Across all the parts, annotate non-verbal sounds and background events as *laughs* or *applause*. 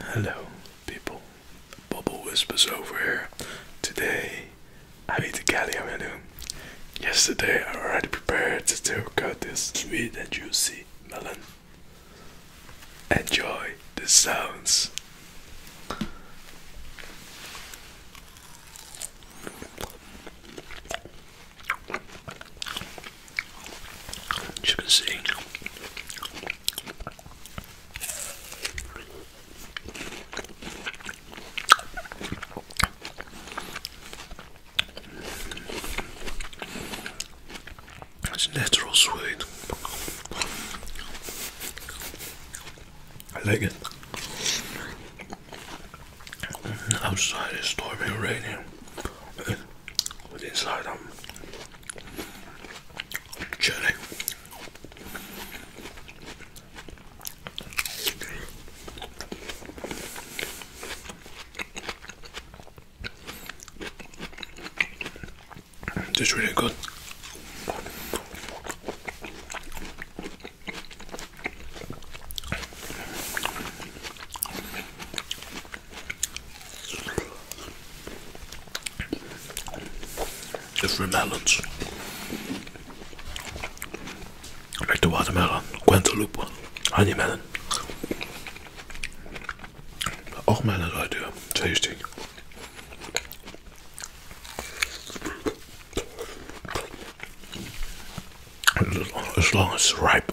Hello, people. Bubble Whispers over here. Today, I made the Gallia menu. Yesterday, I already prepared to cut this sweet and juicy melon. Enjoy the sounds. you can see, that's natural sweet. I like it. Outside is stormy raining with inside um chili. It's really good. It's from melons. Like the watermelon, Guantaloupe, honey melon. Ook mijn idee, tasty. As long as it's ripe.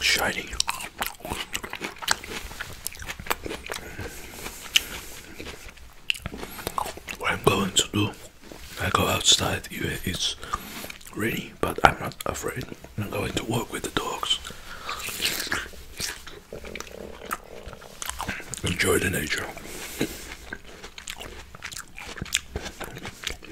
Shiny. What I'm going to do, I go outside, it's rainy, but I'm not afraid. I'm going to walk with the dogs. Enjoy the nature.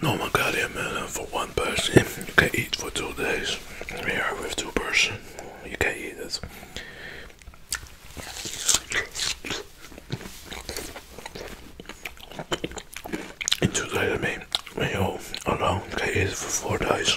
normal goddamn uh, for one person. You can eat for two days. We are with two person. You can eat it. And today, I mean, We you alone, can eat for four days.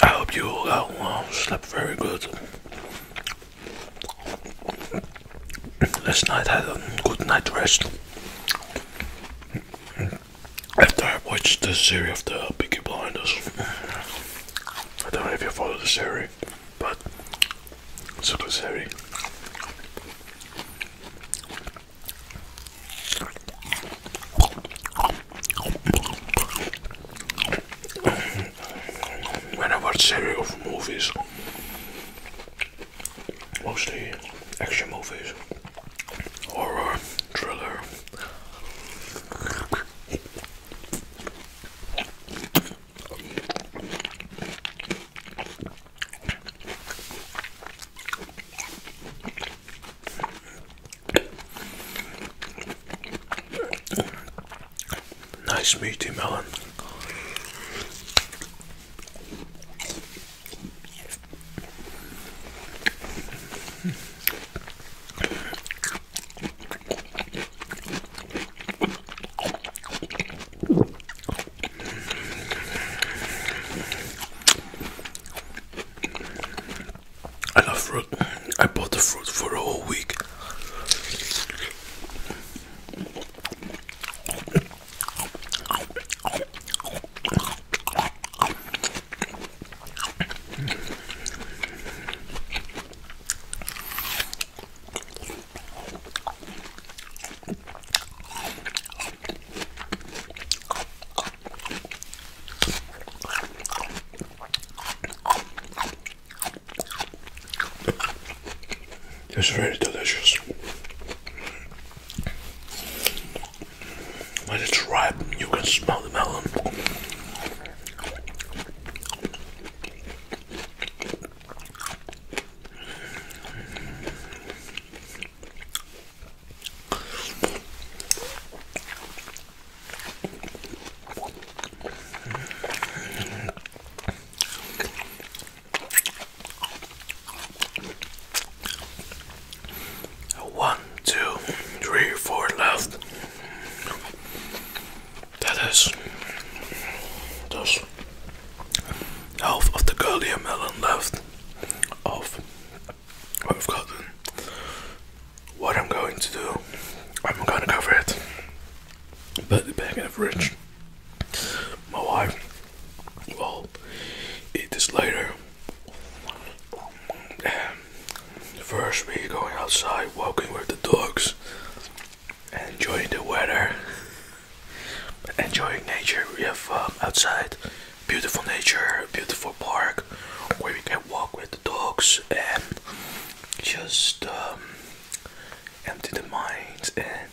I hope you all got well, slept very good. Last night I had a good night rest after I watched the series of the Peaky Blinders. I don't know if you follow the series, but it's a good series. When I watch series of movies, mostly action movies, horror. Triller. Nice meaty melon. I love fruit. I bought the fruit for a whole week. It's very delicious. When it's ripe, you can smell the melon. One, two, three, four left. That is just half of the Gallia melon left of what I've gotten. What I'm going to do, I'm gonna cover it, put the bag in the fridge. My wife will eat this later First, we're going outside, walking with the dogs, enjoying the weather, enjoying nature. We have um, outside beautiful nature, beautiful park where we can walk with the dogs and just um, empty the minds and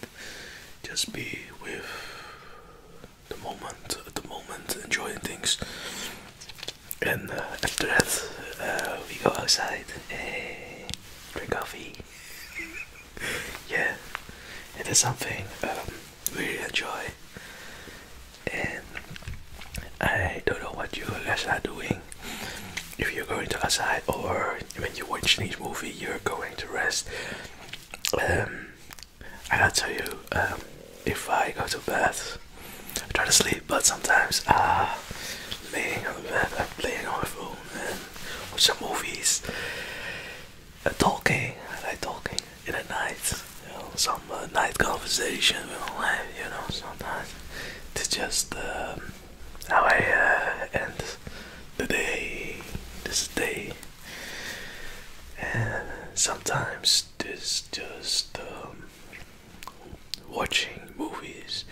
just be with the moment at the moment enjoying things and uh, after that uh, we go outside and uh, drink coffee *laughs* yeah it is something um, we enjoy and I don't know what you guys are doing if you're going to outside or when you watch these movie you're going to rest um, I gotta tell you, um, if I go to bed, try to sleep, but sometimes ah, laying on the bed, I'm playing on my phone and watching movies, uh, talking. I like talking in the night, you know, some uh, night conversation we you know, sometimes it's just um, how I uh, end the day. This day, and sometimes is just um, watching movies,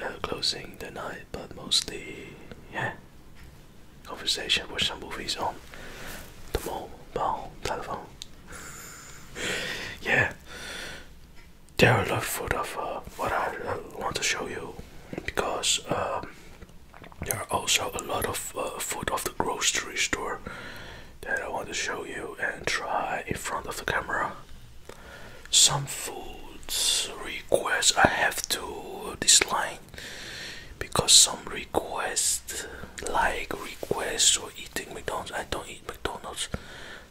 uh, closing the night, but mostly yeah, conversation with some movies on the mobile telephone. yeah, there are a lot of, of uh, what I want to show you because um, there are also a lot of uh, food of the grocery store that I want to show you and try in front of the camera. Some foods requests I have to dislike because some requests like requests for eating McDonald's. I don't eat McDonald's.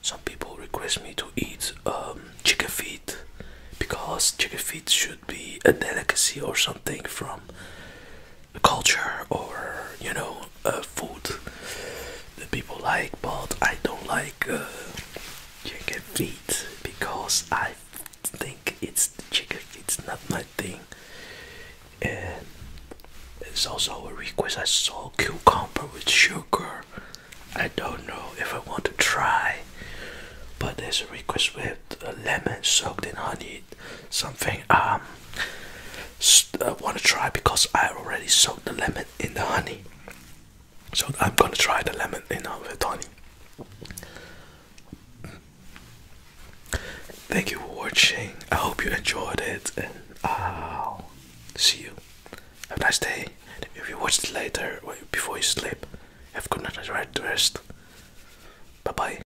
Some people request me to eat um, chicken feet because chicken feet should be a delicacy or something from culture or you know uh, food that people like, but I don't like uh, chicken feet because I think it's the chicken It's not my thing. And it's also a request. I saw cucumber with sugar. I don't know if I want to try, but there's a request with lemon soaked in honey, something um I want to try because I already soaked the lemon in the honey. So I'm gonna try the lemon in the honey. Thank you for watching. I hope you enjoyed it, and I'll see you. Have a nice day. If you watch it later, before you sleep, have a good night rest. Bye bye.